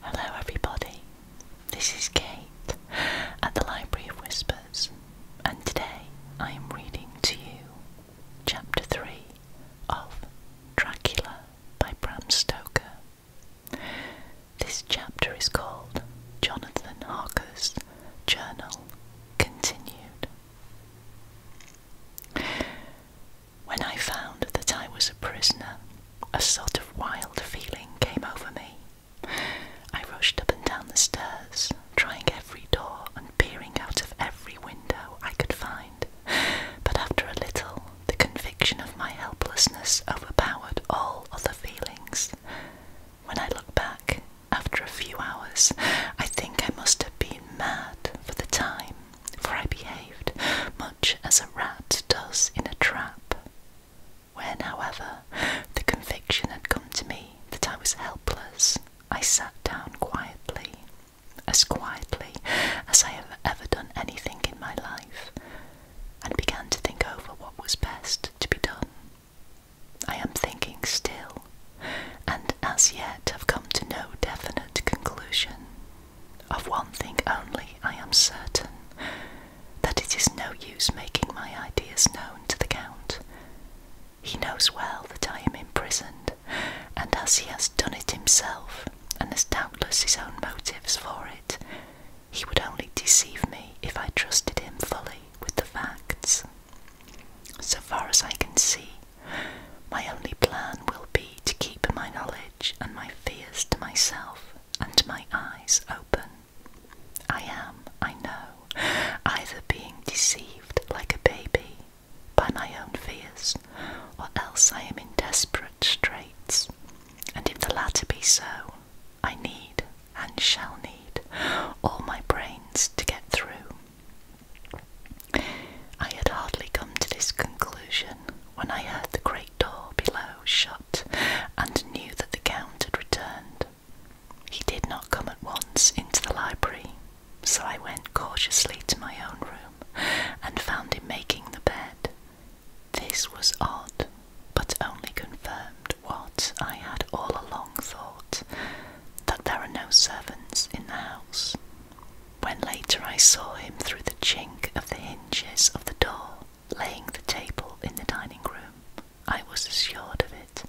Hello, everybody. This is Kate at the Library of Whispers, and today I am reading to you Chapter 3 of Dracula by Bram Stoker. This chapter is called Jonathan Harker's Journal Continued. When I found that I was a prisoner, a sort of wild feeling came over me. I rushed up and down the stairs, trying every door and peering out of every window I could find. But after a little, the conviction of my helplessness overpowered all other feelings. When I looked back, after a few hours, I think I must have been mad for the time, for I behaved as a rat does in a trap. When, however, the conviction had come to me that I was helpless, I sat down quietly, as quietly as I have ever done anything in my life, and began to think over what was best to be done. I am thinking still, and as yet have come to no definite conclusion. Of one thing only I am certain, that it is no use making my ideas known to the Count. He knows well that I am imprisoned, and as he has done it himself, and has doubtless his own motives for it, he would only deceive me if I trusted him fully with the facts. So far as I can see, my only plan will be to keep my knowledge and my fears to myself and my eyes open. I am, I know, either being deceived like a baby by my own fears, or else I am in desperate straits. And if the latter be so, I need and shall need all my brains to get through. I had hardly come to this conclusion when I heard the great door below shut and knew that the Count had returned. He did not come at once into the library, so I went cautiously to my own room and found him making the bed. This was odd, but only confirmed what I had all along thought that there are no servants in the house. When later I saw him through the chink of the of the door, laying the table in the dining room. I was assured of it.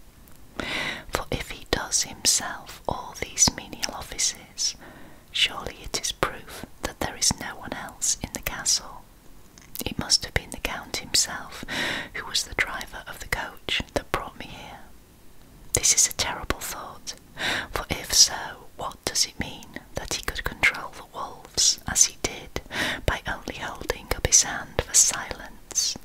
For if he does himself all these menial offices, surely it is proof that there is no one else in the castle. It must have been the Count himself who was the driver of the coach that brought me here. This is a terrible thought, for if so, what does it mean? that he could control the wolves as he did by only holding up his hand for silence.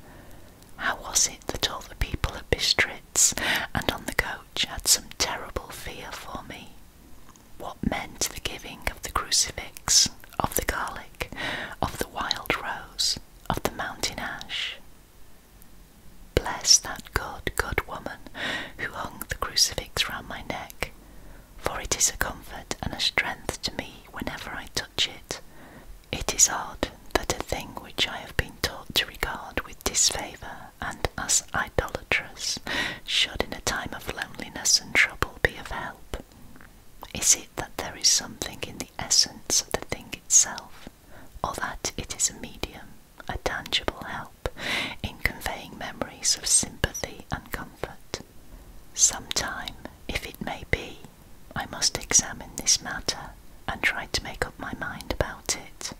How was it that all the people at Bistritz and on the coach had some terrible fear for me? What meant the giving of the crucifix, of the garlic, of the wild rose, of the mountain ash? Bless that good, good woman who hung the crucifix round my neck for it is a comfort and a strength to me whenever I touch it. It is odd that a thing which I have been taught to regard with disfavour and as idolatrous should in a time of loneliness and trouble be of help. Is it that there is something in the essence of the thing itself, or that it is a medium, a tangible help? in conveying memories of sympathy and comfort. Sometime, if it may be, I must examine this matter and try to make up my mind about it.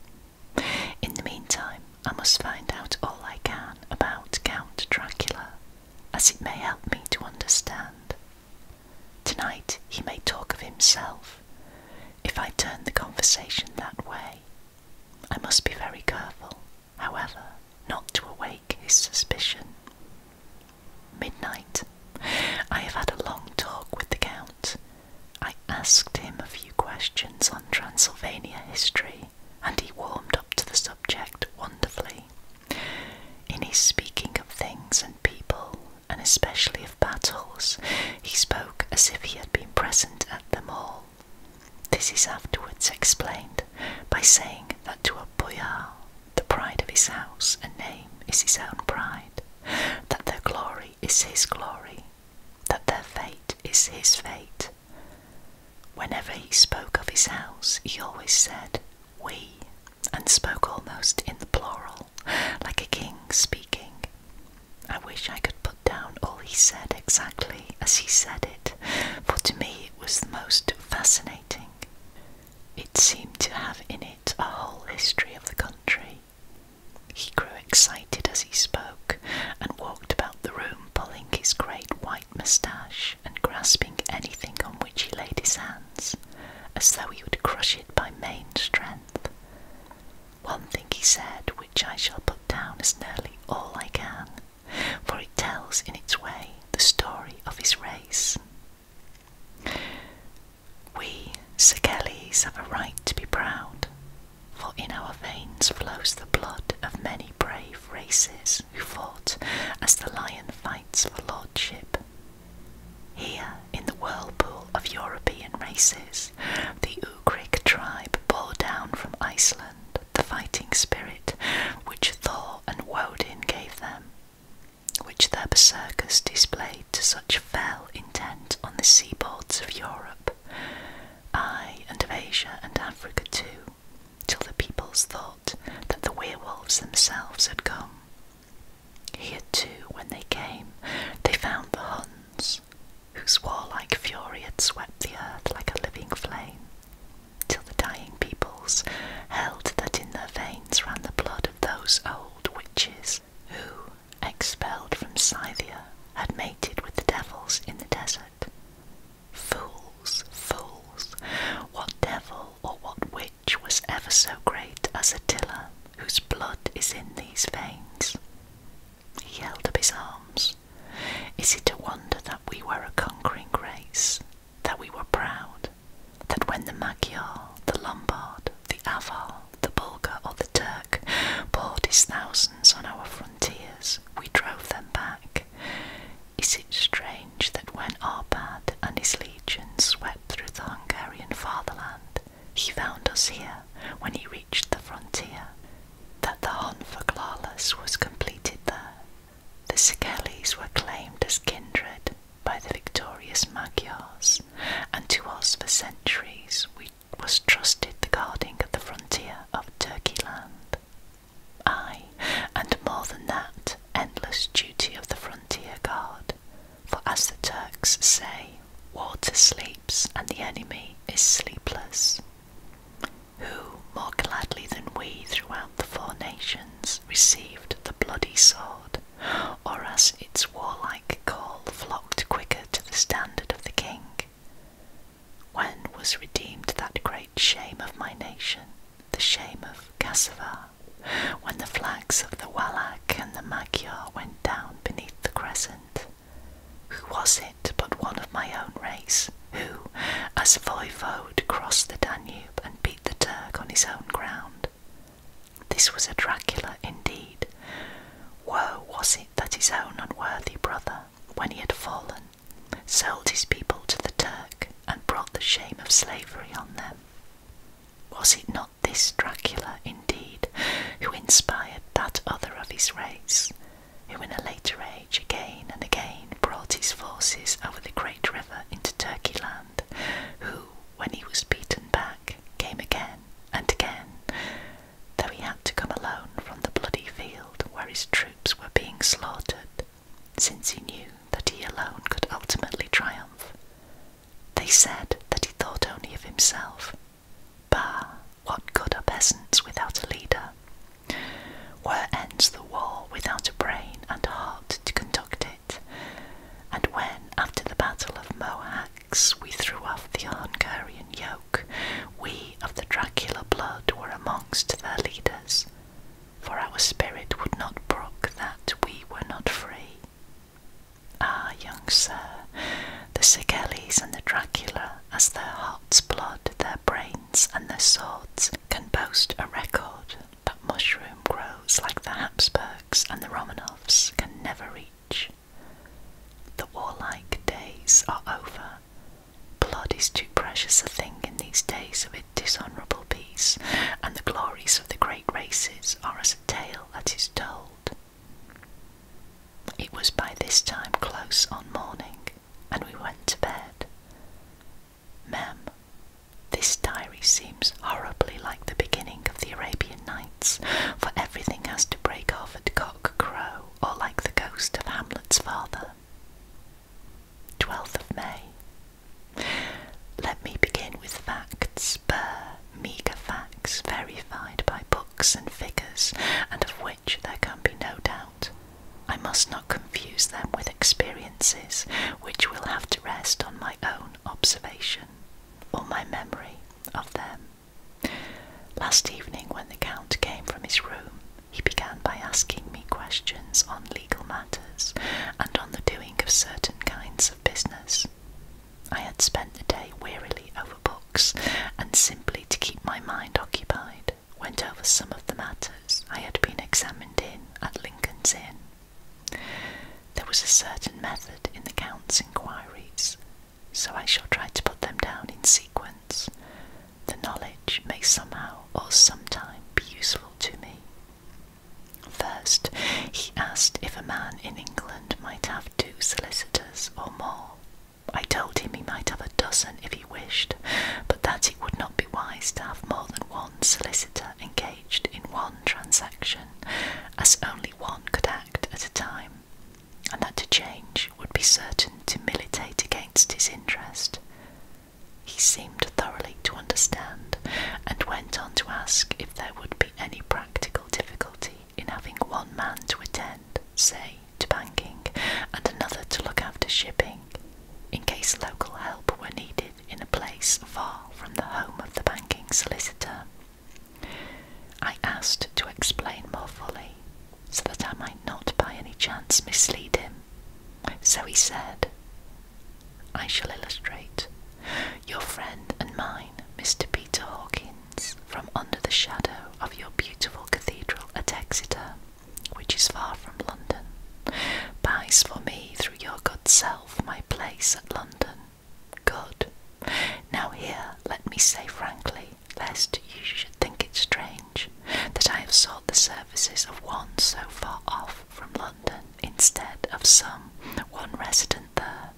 In the meantime, I must find out all I can about Count Dracula, as it may help me to understand. Tonight he may talk of himself, if I turn the conversation that way. I must be very careful however, not to awake his suspicion. Midnight. I have had a long talk with the Count. I asked him a few questions on Transylvania history, and he warmed up to the subject wonderfully. In his speaking of things and people, and especially of battles, he spoke as if he had been present at them all, this is afterwards explained by saying that to a boyar, the pride of his house and name is his own pride, that their glory is his glory, that their fate is his fate. Whenever he spoke of his house, he always said, we, and spoke almost in the plural, like a king speaking. I wish I could put down all he said exactly as he said it, for to me it was the most fascinating. It seemed to have in it a whole history of the country. He grew excited as he spoke and walked about the room, pulling his great white moustache and grasping anything on which he laid his hands, as though he would crush it by main strength. One thing he said, which I shall put down as nearly all I can, for it tells in its way the story of his race. We, Segeles, have a right to be proud, for in our veins flows the blood of many brave races who fought as the lion fights for lordship. Here, in the whirlpool of European races, the Ugric tribe bore down from Iceland the fighting spirit which Thor and Woden gave them, which their berserkers displayed to such fell intent on the seaboards of Europe, I and of Asia and Africa too, till the peoples thought that the werewolves themselves had come. Here too, when they came, they found the Huns, whose warlike fury had swept the earth like a living flame, till the dying peoples held that in their veins ran the blood of those old witches who, expelled from Scythia, had mated with the devils in the desert. Fools, fools, what devil or what witch was ever so great as Attila, whose blood is in these veins? He held up his arms. Is it a wonder that we were a conquering race, that we were proud, that when the Magyar, the Lombard, the Avar, the Bulgar, or the Turk poured his thousands on our frontiers, we drove them back? Is it strange that when Arbad and his legion swept through the Hungarian fatherland, he found us here when he reached the frontier? that the hunt for Glalis was completed there. The Sigeles were claimed as kindred by the victorious Magyars, and to us for centuries we was trusted the guarding of the frontier of Turkey land. Aye, and more than that, endless duty of the frontier guard, for as the Turks say, water sleeps and the enemy is sleepless who, more gladly than we throughout the four nations, received the bloody sword, or as its warlike call flocked quicker to the standard of the king. When was redeemed that great shame of my nation, the shame of Kassavar, when the flags of the Wallach and the Magyar went down beneath the crescent? Who was it but one of my own race, who, as voivode, crossed the Danube and beat the Turk on his own ground? This was a Dracula indeed. Woe was it that his own unworthy brother, when he had fallen, sold his people to the Turk and brought the shame of slavery on them. Was it not this Dracula, indeed, who inspired that other of his race, who in a later age again and again brought his forces over the great river into Turkey land, who, when he was beaten back, came again and again, though he had to come alone from the bloody field where his troops were being slaughtered, since he knew that he alone could ultimately triumph. They said that he thought only of himself, Bah, what good are peasants without a leader? Where ends the war without a brain and heart to conduct it? And when, after the battle of Mohacs, we threw off the Hungarian yoke, we of the Dracula blood were amongst their leaders, for our spirit would not brook that we were not free. Ah, young sir, the Sigelis and the Dracula as their heart's blood, their brains, and their swords can boast a record that mushroom grows like the Habsburgs and the Romanovs can never reach. The warlike days are over. Blood is too precious a thing in these days of a dishonourable peace, and the glories of the great races are as a tale that is told. It was by this time close on morning, and we went to bed. Mem, this diary seems horribly like the beginning of the Arabian Nights, for everything has to break off at cock crow, or like the ghost of Hamlet's father. 12th of May. Let me begin with facts, bare, meagre facts verified by books and figures, and of which there can be no doubt. I must not confuse them with experiences which will have to rest on my own observation or my memory of them. Last evening, when the Count came from his room, he began by asking me questions on legal matters and on the doing of certain kinds of business. I had spent the day wearily over books and simply to keep my mind occupied went over some of the matters I had been examined in at Lincoln's Inn. There was a certain method in the Count's inquiries, so I shall try to put them down in sequence. The knowledge may somehow or sometime be useful to me. First, he asked if a man in England might have two solicitors or more. I told him he might have a dozen if he wished, but that it would not be wise to have more than one solicitor engaged in one transaction, as only one could act at a time, and that to change would be certain to militate against his interest. He seemed thoroughly to understand, and went on to ask if there would be any practical difficulty in having one man to attend say, to banking, and another to look after shipping, in case local help were needed in a place far from the home of the banking solicitor. I asked to explain more fully, so that I might not by any chance mislead him. So he said, I shall illustrate. Your friend and mine, Mr. Peter Hawkins, from under the shadow of your beautiful cathedral at Exeter, which is far from London, buys for me through your good self my place at London. Good. Now, here, let me say frankly, lest you should think it strange, that I have sought the services of one so far off from London instead of some one resident there.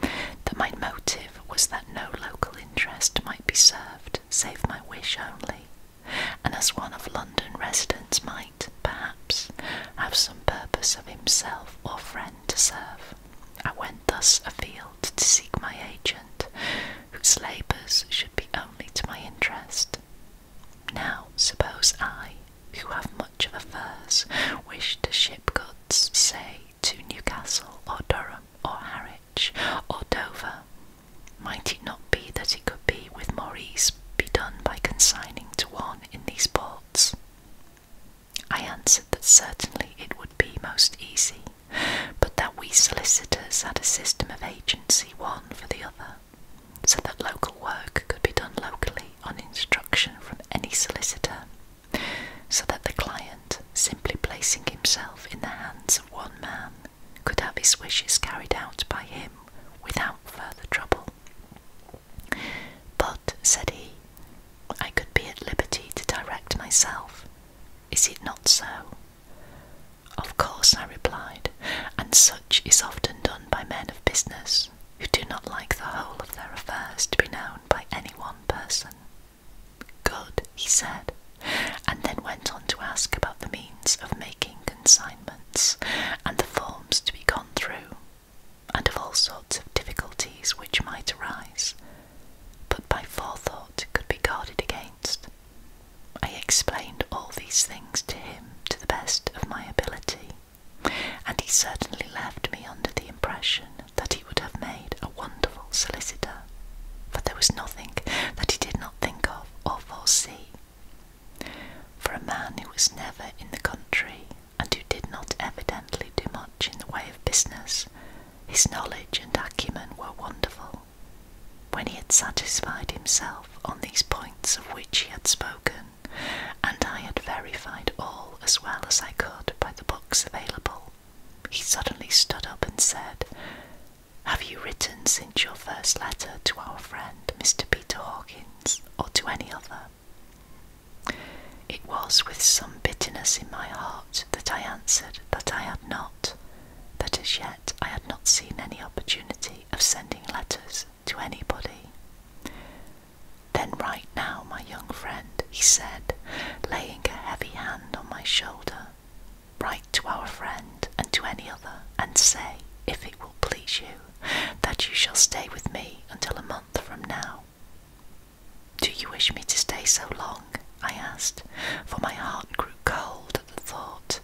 That my motive was that no local interest might be served, save my wish only, and as one of London residents might, perhaps, have some purpose of himself or friend to serve. I went thus afield to seek my agent, whose labours should be only to my interest. Now, suppose I, who have much of affairs, wish to ship goods, say, to Newcastle or Durham or Harwich, or Dover? Might it not be that it could be with more ease be done by consigning to one in these ports? I answered that certainly it would be most easy, but that we solicitors had a system of agency one for the other, so that local work could be done locally on instruction from any solicitor, so that the client simply placing himself in the hands of one man, could have his wishes carried out by him without further trouble. But, said he, I could be at liberty to direct myself. Is it not so? Of course, I replied, and such is often done by men of business, who do not like the whole of their affairs to be known by any one person. Good, he said, and then went on to ask about the means of making consignments and the forms to be gone through, and of all sorts of difficulties which might arise, but by forethought could be guarded against. I explained all these things to him to the best of my ability, and he certainly left me under the impression that he he would have made a wonderful solicitor, for there was nothing that he did not think of or foresee. For a man who was never in the country, and who did not evidently do much in the way of business, his knowledge and acumen were wonderful. When he had satisfied himself on these points of which he had spoken, and I had verified all as well as I could by the books available, he suddenly stood up and said, Have you written since your first letter to our friend Mr. Peter Hawkins, or to any other? It was with some bitterness in my heart that I answered that I had not, that as yet I had not seen any opportunity of sending letters to anybody. Then, right now, my young friend, he said, laying a heavy hand on my shoulder, write to our friend and to any other, and say, if it will please you, that you shall stay with me until a month from now. Do you wish me to stay so long? I asked, for my heart grew cold at the thought.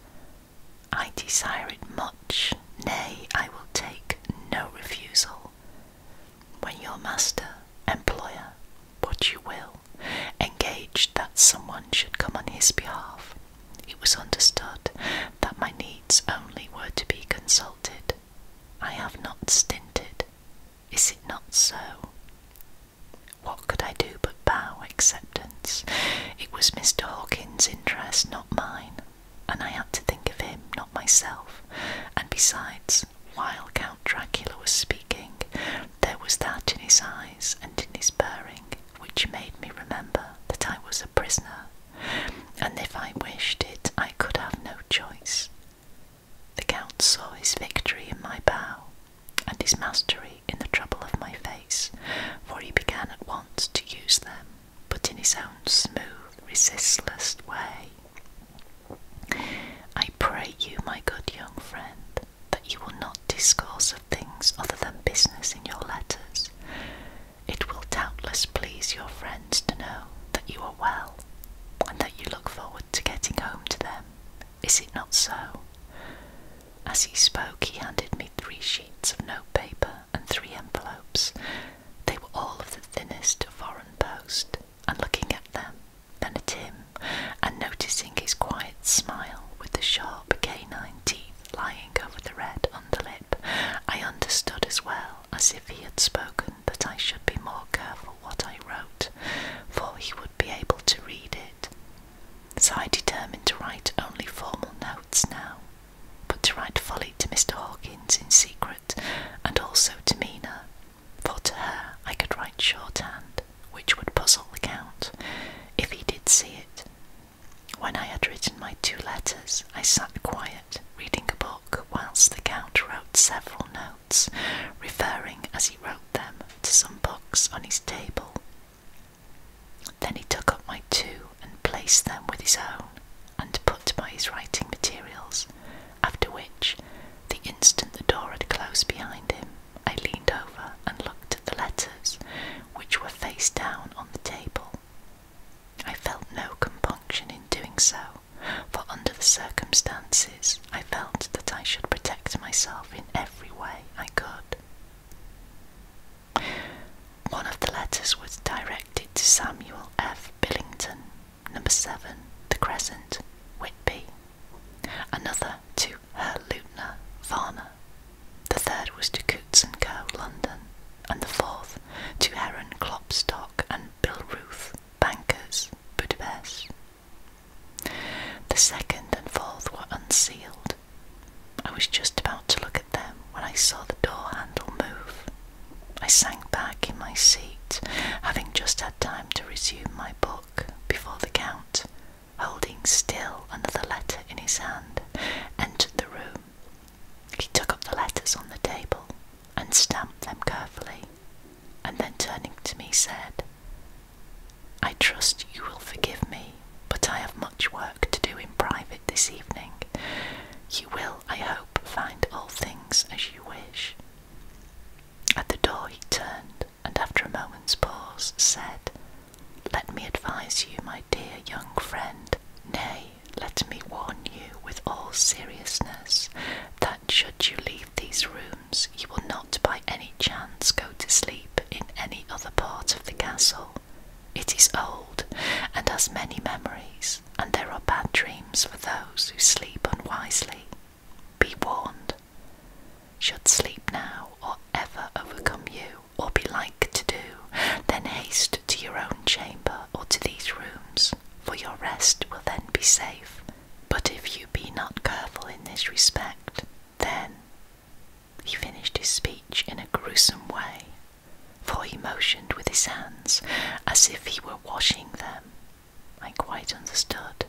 I desire it much, nay, I will take no refusal. When your master, employer, what you will, engaged that someone should come on his behalf. It was understood that my needs only were to be consulted. I have not stinted. Is it not so? What could I do but bow acceptance? It was Mr. Hawkins' interest, not mine, and I had to think of him, not myself. And besides, while Count Dracula was speaking, there was that in his eyes and in his bearing which made me remember that I was a prisoner, and if I wished it, I could have no choice. The Count saw his victory in my bow, and his mastery in the trouble of my face, for he began at once to use them, but in his own smooth, resistless way. I pray you, my good young friend, that you will not discourse of things other than business in your letters. It will doubtless please your friends to know that you are well, and that you look forward to getting home to them. Is it not so? As he spoke, he handed me three sheets of notepaper and three envelopes. They were all of the thinnest foreign post and looking at them, then at him, and noticing his quiet smile with the sharp canine teeth lying over the red underlip, I understood as well as if he had spoken that I should be more careful what I wrote, for he would be able to read it. So I determined to write only formal notes now, but to write fully to Mr. Hawkins in secret, and also to Mina, for to her I could write shorthand, which would puzzle the count, if he did see it. When I had written my two letters, I sat quiet, reading a book, whilst the count wrote several notes, referring as he wrote them to some books on his table. Then he took up my two and placed them with his own, and put by his writing materials, after which the instant the door had closed behind him, I leaned over and looked at the letters, which were face down on the table. I felt no compunction in doing so, for under the circumstances, I felt that I should protect myself in every way I could. One of the letters was directed to Samuel F. Billington, number 7, The Crescent, Whitby another to Lutner, Varna, the third was to Coots and Co. London, and the fourth to Heron Klopstock and Bill Ruth, Bankers Budapest. The second and fourth were unsealed. I was just about to look at them when I saw the door handle move. I sank back in my seat, having just had time to resume my book before the count, holding still another letter in his hand, entered the room. He took up the letters on the table and stamped them carefully, and then turning to me said, I trust you will forgive me, but I have much work to do in private this evening. You will, I hope, find all things as you wish. At the door he turned and after a moment's pause said, Let me advise you, my dear young friend, nay, let me warn you with all seriousness, that should you leave these rooms, you will not by any chance go to sleep in any other part of the castle. It is old and has many memories, and there are bad dreams for those who sleep unwisely. Be warned. Should sleep now or ever overcome you, or be like to do, then haste to your own chamber or to these rooms, for your rest will then be safe. But if you be not careful in this respect, then. He finished his speech in a gruesome way, for he motioned with his hands as if he were washing them I quite understood.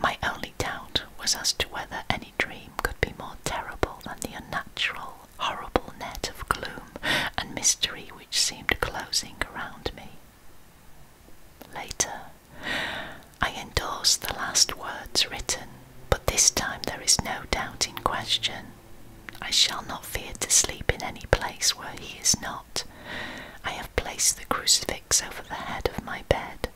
My only doubt was as to whether any dream could be more terrible than the unnatural, horrible net of gloom and mystery which seemed closing around me. Later, I endorse the last words written, but this time there is no doubt in question. I shall not fear to sleep in any place where he is not. I have placed the crucifix over the head of my bed,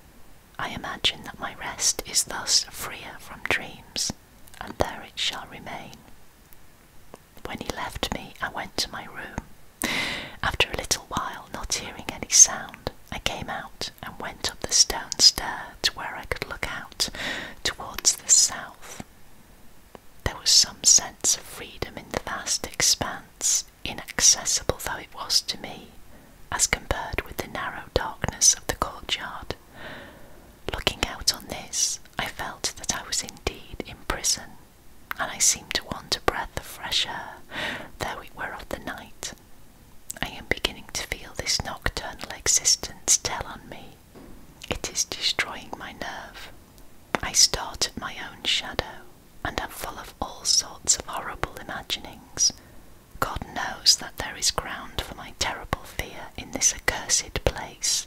I imagine that my rest is thus freer from dreams, and there it shall remain. When he left me, I went to my room. After a little while, not hearing any sound, I came out and went up the stone stair to where I could look out towards the south. There was some sense of freedom in the vast expanse, inaccessible though it was to me, as compared with the narrow darkness of the courtyard. Looking out on this, I felt that I was indeed in prison, and I seemed to want a breath of fresh air, though it were of the night. I am beginning to feel this nocturnal existence tell on me. It is destroying my nerve. I start at my own shadow, and am full of all sorts of horrible imaginings. God knows that there is ground for my terrible fear in this accursed place.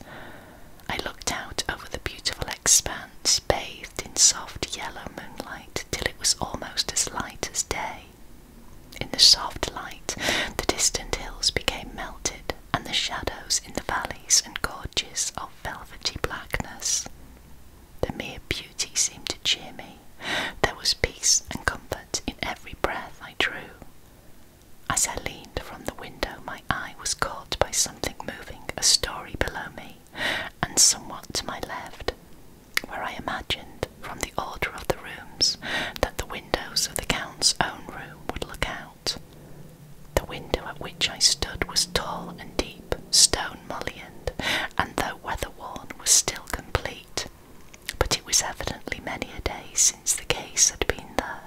I looked out over the beautiful expanse, bathed in soft yellow moonlight, till it was almost as light as day. In the soft light, the distant hills became melted, and the shadows in the valleys and gorges of velvety blackness. The mere beauty seemed to cheer me. There was peace and comfort in every breath I drew. As I leaned from the window, my eye was caught by something moving a story below me and somewhat to my left, where I imagined, from the order of the rooms, that the windows of the Count's own room would look out. The window at which I stood was tall and deep, stone Mullioned, and though weather-worn, was still complete. But it was evidently many a day since the case had been there.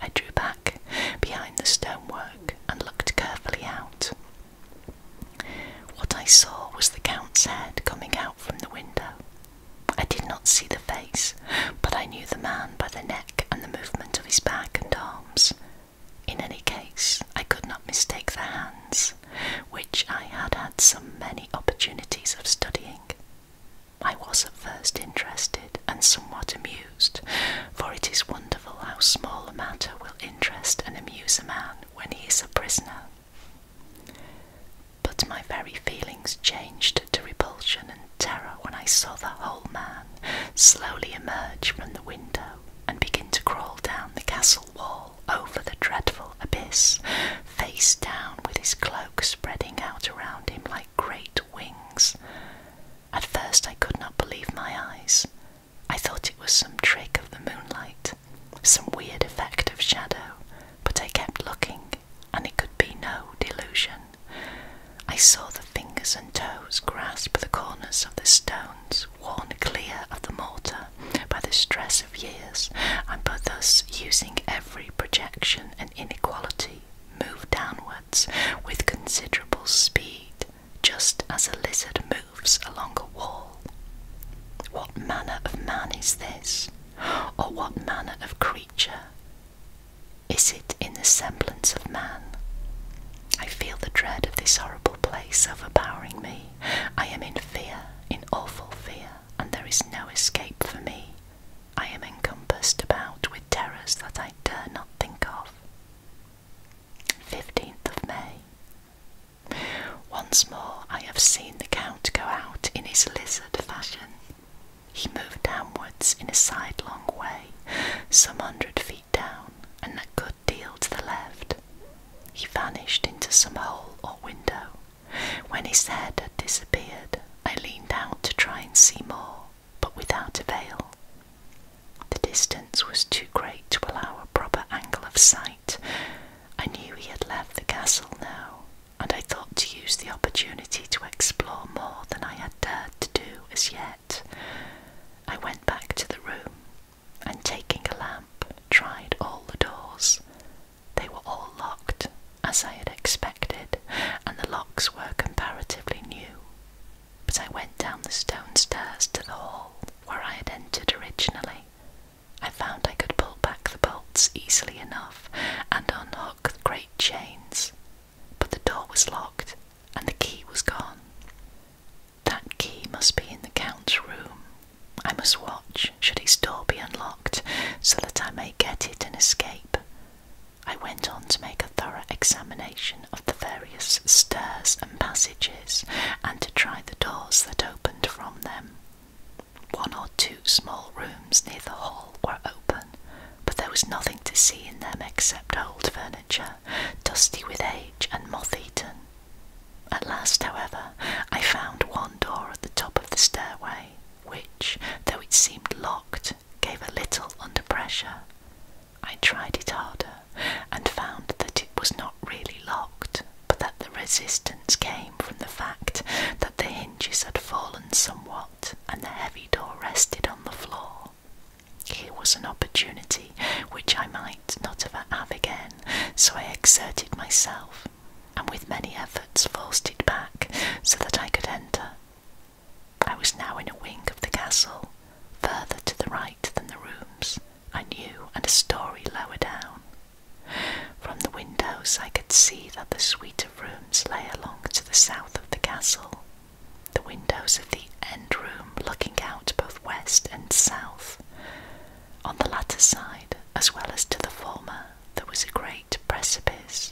I drew back behind the stonework and looked carefully out. What I saw was the count's head coming out from the window. I did not see the face, but I knew the man by the neck and the movement of his back and arms, in any case, I could not mistake the hands, which I had had so many opportunities of studying. I was at first interested and somewhat amused, for it is wonderful how small a matter will interest and amuse a man when he is a prisoner. But my very feelings changed to repulsion and terror when I saw the whole man slowly emerge from the window and begin to crawl down the castle wall over the dreadful abyss, face down with his cloak spreading out around him like great wings. At first I could not believe my eyes. I thought it was some trick of the moonlight, some weird effect of shadow, but I kept looking, and it could be no delusion. I saw the fingers and toes grasp the corners of the stones worn clear of the mortar by the stress of years, and by thus using every projection and inequality, moved downwards with considerable speed, just as a lizard moves along a wall. What manner of man is this, or what manner of creature? Is it in the semblance of man? I feel the dread of this horrible place overpowering me. I am in fear, in awful fear, and there is no escape for me. I am encompassed about with terrors that I dare not think of. 15th of May. Once more I have seen the Count go out in his lizard fashion. He moved downwards in a sidelong way, some hundred feet down, and a good odd to the left. He vanished into some hole or window. When his head had disappeared, I leaned out to try and see more, but without avail. The distance was too great to allow a proper angle of sight. I knew he had left the castle now, and I thought to use the opportunity to explore more than I had dared to do as yet. I went back to the room and taking a lamp, tried all the doors. They were all locked, as I had expected, and the locks were comparatively new. But I went down the stone stairs to the hall where I had entered originally. I found I could pull back the bolts easily enough and unlock the great chains, but the door was locked and the key was gone. That key must be in the Count's room. I must watch, should his door be unlocked, so that I may get it and escape. I went on to make a thorough examination of the various stairs and passages, and to try the doors that opened from them. One or two small rooms near the hall were open, but there was nothing to see in them except old furniture dusty with age and moth eaten. At last, however, I found one door at the top of the stairway, which, though it seemed locked, gave a little under pressure. I tried it harder and found that it was not really locked, but that the resistance came from the fact that the hinges had fallen somewhat and the heavy door rested on the floor. Here was an opportunity which I might not ever have again, so I exerted myself, and with many efforts forced it back so that I could enter. I was now in a wing of the castle, further to the right than the rooms, I knew, and a story lower down. From the windows I could see that the suite of rooms lay along to the south of the castle, the windows of the end room looking out both west and south. On the latter side, as well as to the former, there was a great precipice.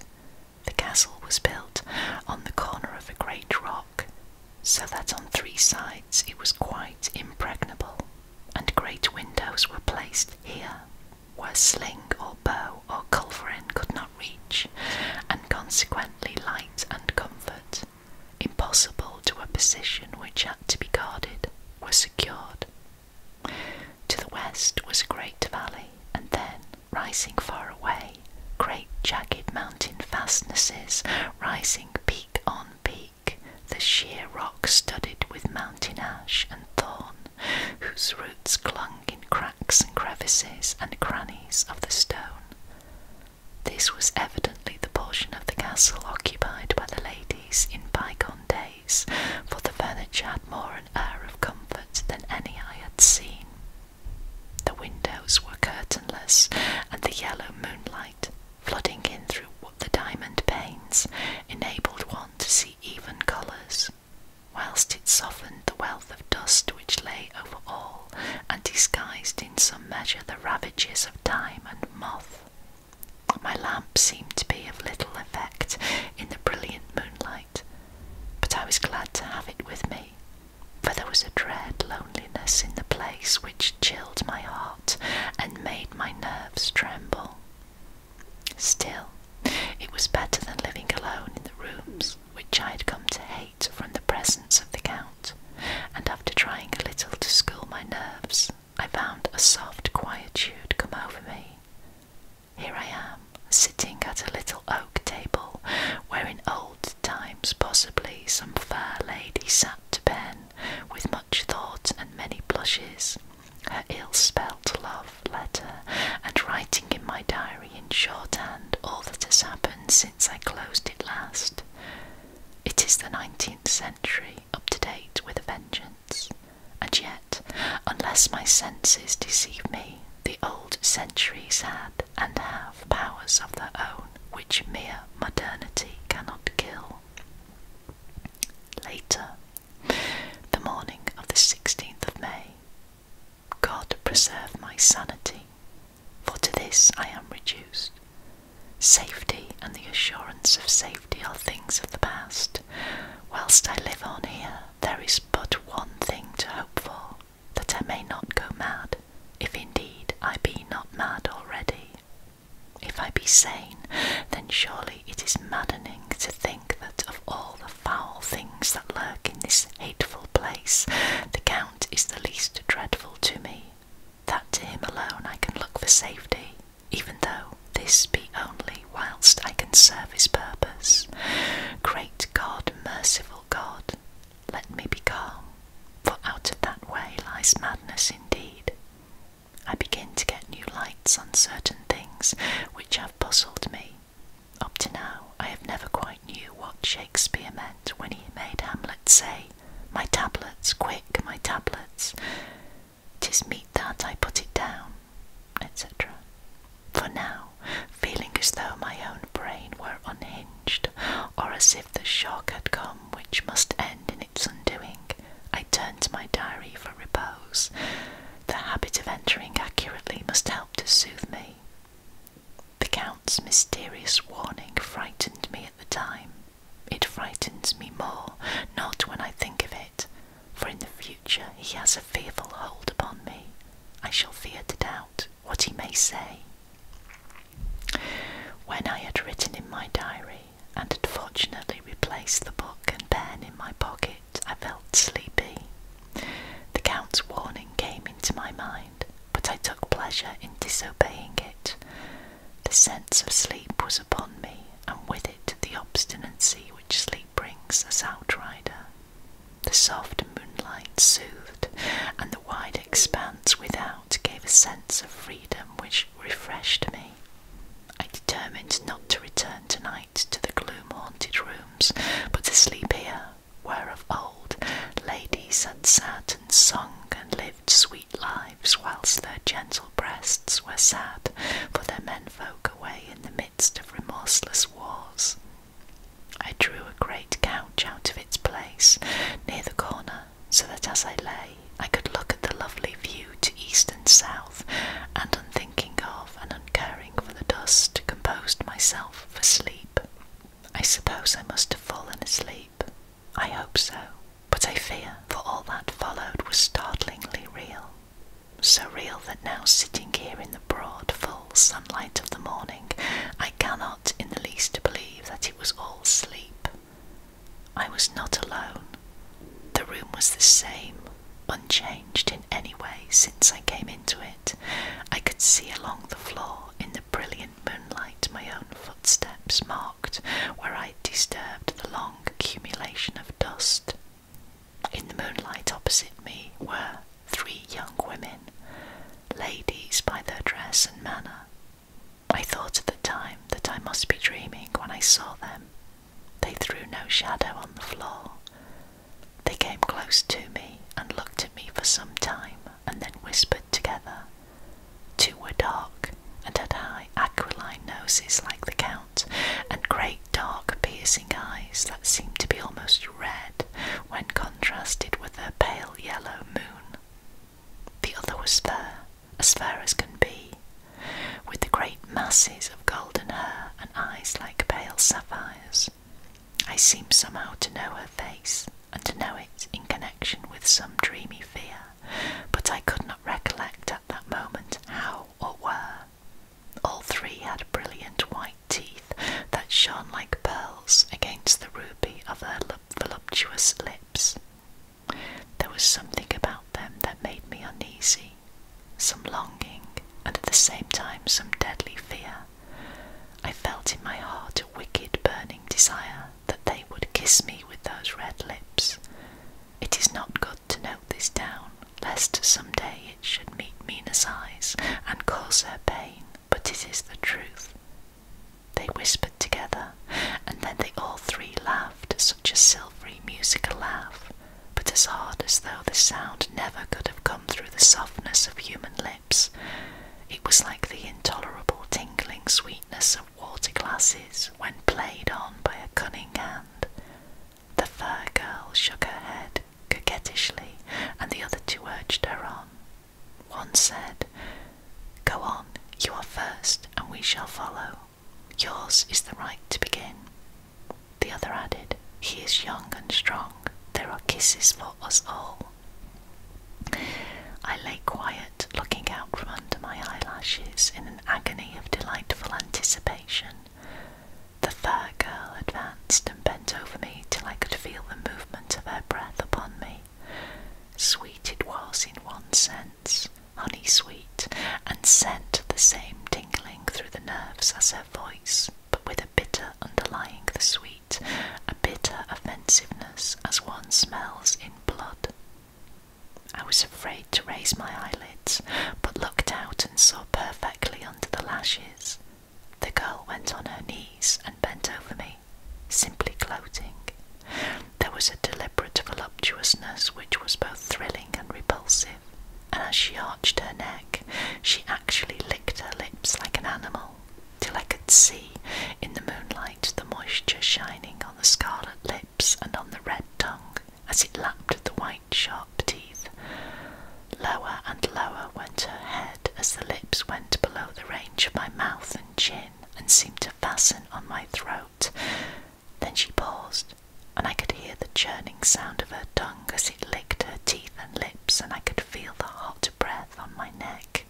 The castle was built on the corner of a great rock, so that on three sides it was quite impregnable, and great windows were placed here, where sling or bow or culverin could not reach, and consequently light and comfort impossible to a position which had to be guarded, was secured. To the west was a great valley, and then, rising far away, great jagged mountain fastnesses, rising peak on peak, the sheer rock studded with mountain ash and thorn, whose roots clung in cracks and crevices and crannies of the stone. This was evidently the portion of the castle occupied by the ladies in bygone days, for the furniture had more an air of comfort than any I had seen. The windows were curtainless, and the yellow moonlight, flooding in through the diamond panes, enabled one to see even colours, whilst it softened the wealth of dust which lay over all and disguised in some measure the ravages of time and moth. My lamp seemed to be of little effect in the brilliant moonlight, but I was glad to have it with me, for there was a dread loneliness in the place which chilled my heart and made my nerves tremble. Still, it was better than living alone in the rooms which I had come to hate from the presence of the count, and after trying a little to school my nerves, I found a soft quietude come over me. Here I am, sitting at a little oak table, where in old times possibly some fair lady sat to pen, with much thought and many blushes, her ill-spelt love letter, and writing in my diary in shorthand all that has happened since I closed it last. It is the 19th century, up to date with a vengeance. And yet, unless my senses deceive me, the old centuries had and have powers of their own which mere modernity cannot kill. Later, the morning of the 16th of May, God preserve my sanity for to this I am reduced. Safety and the assurance of safety are things of the past. Whilst I live on here, there is but one thing to hope for, that I may not go mad, if indeed I be not mad already. If I be sane, then surely it is maddening to think that of all the foul things that lurk in this hateful place, the count is the least dreadful to me that to him alone I can look for safety, even though this be only whilst I can serve his purpose. Great God, merciful God, let me be calm, for out of that way lies madness indeed. I begin to get new lights on certain things which have puzzled me. Up to now, I have never quite knew what Shakespeare meant when he made Hamlet say, my tablets, quick, my tablets. Tis meet that I put it down, etc. For now, feeling as though my own brain were unhinged, or as if the shock had come which must end in its undoing, I turn to my diary for repose. The habit of entering accurately must help to soothe me. The Count's mysterious warning frightened me at the time. It frightens me more, not when I think of it, for in the future he has a fearful hold upon me. I shall fear to doubt what he may say. When I had written in my diary, and had fortunately replaced the book and pen in my pocket, I felt sleepy. The Count's warning came into my mind but I took pleasure in disobeying it. The sense of sleep was upon me, and with it the obstinacy which sleep brings as outrider. The soft moonlight soothed, and the wide expanse without gave a sense of freedom which refreshed me. I determined not to return tonight to the gloom haunted rooms, but to sleep here, where of old ladies had sat and sung and lived sweet lives, whilst their gentle breasts were sad for their menfolk away in the midst of remorseless wars. I drew a great couch out of its place near the corner, so that as I lay, I could look at the lovely view to east and south, and unthinking of and uncaring for the dust, composed myself for sleep. I suppose I must have fallen asleep. I hope so, but I fear, for all that followed was startlingly real. So real that now sitting here in the broad, full sunlight of the morning, I cannot in the least believe that it was all sleep. I was not alone. The room was the same, unchanged in any way since I came into it. I could see along the floor in the brilliant moonlight my own footsteps marked where I disturbed the long accumulation of dust. In the moonlight opposite me were three young women, ladies by their dress and manner. I thought at the time that I must be dreaming when I saw them. They threw no shadow on the floor. They came close to me and looked at me for some time, and then whispered together. Two were dark and had high aquiline noses like the Count, and great dark piercing eyes that seemed to be almost red when contrasted with their pale yellow moon. The other was fair, as fair as can be, with the great masses of golden hair and eyes like pale sapphires. I seemed somehow to know her face, and to know it in connection with some dreamy fear, but I could not recollect at that moment how or where. All three had brilliant white teeth that shone like pearls against the ruby of her voluptuous lips. There was something about them that made me uneasy, some longing, and at the same time some deadly fear. I felt in my heart a wicked burning desire that they would kiss me with those red lips. It is not good to note this down, lest some day it should meet meaner eyes and cause her pain, but it is the truth. They whispered together, and then they all three laughed such a silvery musical laugh, but as hard as though the sound never could have come through the softness of human lips. It was like the intolerable tingling sweetness of water glasses when played on by a cunning hand. The fair girl shook her head coquettishly, and the other two urged her on. One said, Go on, you are first, and we shall follow. Yours is the right to begin. The other added, He is young and strong. There are kisses for us all. I lay quiet, looking out from under my eyelashes in an agony of delightful anticipation. The fair girl advanced and bent over me till I could feel the movement of her breath upon me. Sweet it was in one sense, honey sweet, and sent the same tingling through the nerves as her voice, but with a bitter underlying the sweet a bitter offensiveness as one smells in blood. I was afraid to raise my eyelids, but looked out and saw perfectly under the lashes. The girl went on her knees and bent over me, simply gloating. There was a deliberate voluptuousness which was both thrilling and repulsive, and as she arched her neck, she actually licked her lips like an animal, till I could see in the moonlight the moisture shining on the scarlet lips and on the red tongue as it lapped at the white, sharp teeth. Lower and lower went her head as the lips went below the range of my mouth and chin and seemed to fasten on my throat. Then she paused, and I could hear the churning sound of her tongue as it licked her teeth and lips, and I could feel the hot breath on my neck.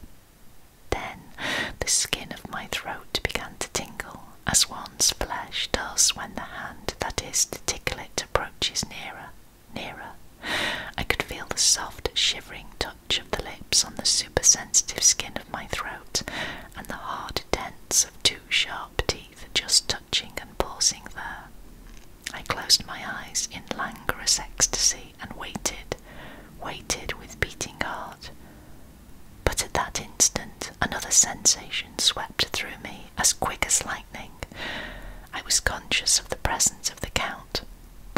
Then the skin of my throat began to tingle, as one's flesh does when the hand that is to tickle it approaches nearer, nearer. I could feel the soft, shivering touch of the lips on the supersensitive skin of my throat, and the hard dents of two sharp teeth just touching and pausing there. I closed my eyes in languorous ecstasy and waited waited with beating heart. But at that instant, another sensation swept through me as quick as lightning. I was conscious of the presence of the Count,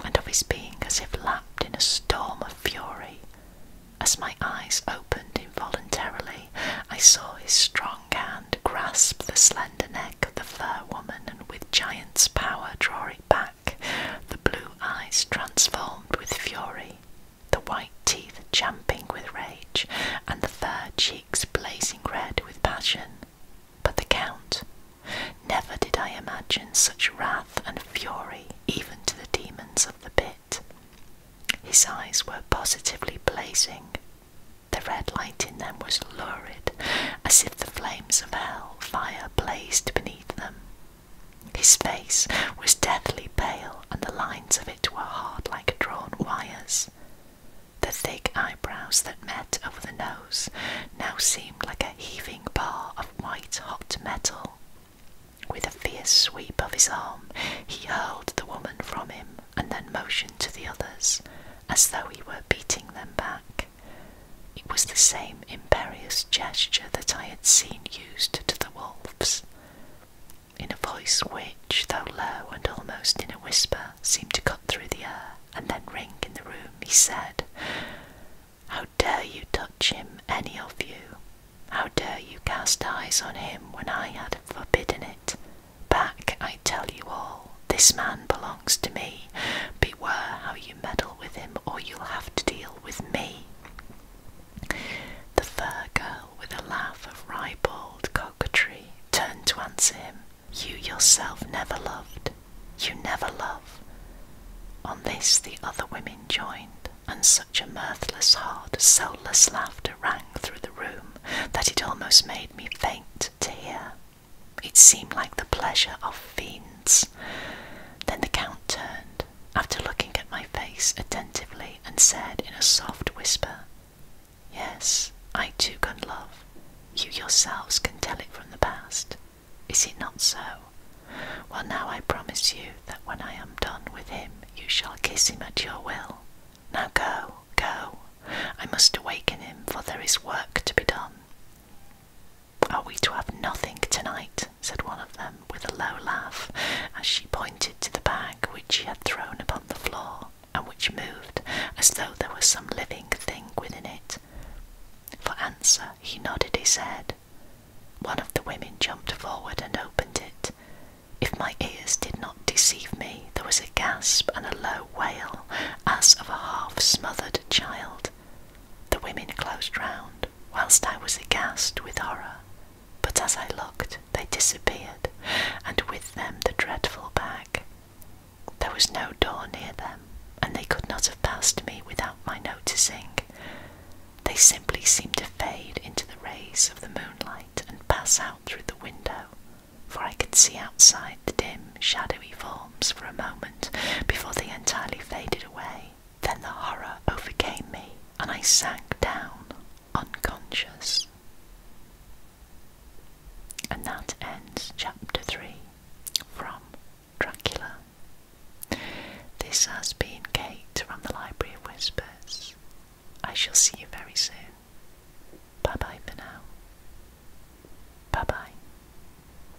and of his being as if lapped in a storm of fury. As my eyes opened involuntarily, I saw his strong hand grasp the slender neck of the fair woman and with giant's power draw it back the blue eyes transformed with fury, the white teeth champing with rage, and the fair cheeks blazing red with passion. But the Count, never did I imagine such wrath and fury even to the demons of the pit. His eyes were positively blazing. The red light in them was lurid, as if the flames of hell fire blazed beneath them. His face was deathly pale, and the lines of it were hard like drawn wires. The thick eyebrows that met over the nose now seemed like a heaving bar of white hot metal. With a fierce sweep of his arm, he hurled the woman from him and then motioned to the others as though he were beating them back. It was the same imperious gesture that I had seen used to the wolves, in a voice which, though low and almost in a whisper, seemed to cut through the air and then ring in the room, he said, How dare you touch him, any of you? How dare you cast eyes on him when I had forbidden it? Back, I tell you all, this man belongs to me, Beware how you meddle with him, or you'll have to deal with me. The fur girl, with a laugh of ribald coquetry, turned to answer him. You yourself never loved. You never love. On this the other women joined, and such a mirthless, hard, soulless laughter rang through the room that it almost made me faint to hear. It seemed like the pleasure of fiends. Then the count turned, after looking at my face attentively, and said in a soft whisper, Yes, I too can love. You yourselves can tell it from the past. Is it not so? Well, now I promise you that when I am done with him, you shall kiss him at your will. Now go, go. I must awaken him, for there is work to be done. Are we to have nothing tonight? said one of them with a low laugh as she pointed to the bag which she had thrown upon the floor and which moved as though there was some living thing within it. For answer, he nodded his head. One of the women jumped forward and opened it. If my ears did not deceive me, there was a gasp and a low wail as of a half smothered child. The women closed round, whilst I was aghast with horror. But as I looked, they disappeared, and with them the dreadful bag. There was no door near them, and they could not have passed me without my noticing. They simply seemed to fade into the rays of the moonlight and pass out through the window, for I could see outside the dim, shadowy forms for a moment before they entirely faded away. Then the horror overcame me, and I sank down unconscious. And that ends chapter 3 from Dracula. This has been Kate from the Library of Whispers. I shall see you very soon. Bye bye for now. Bye bye.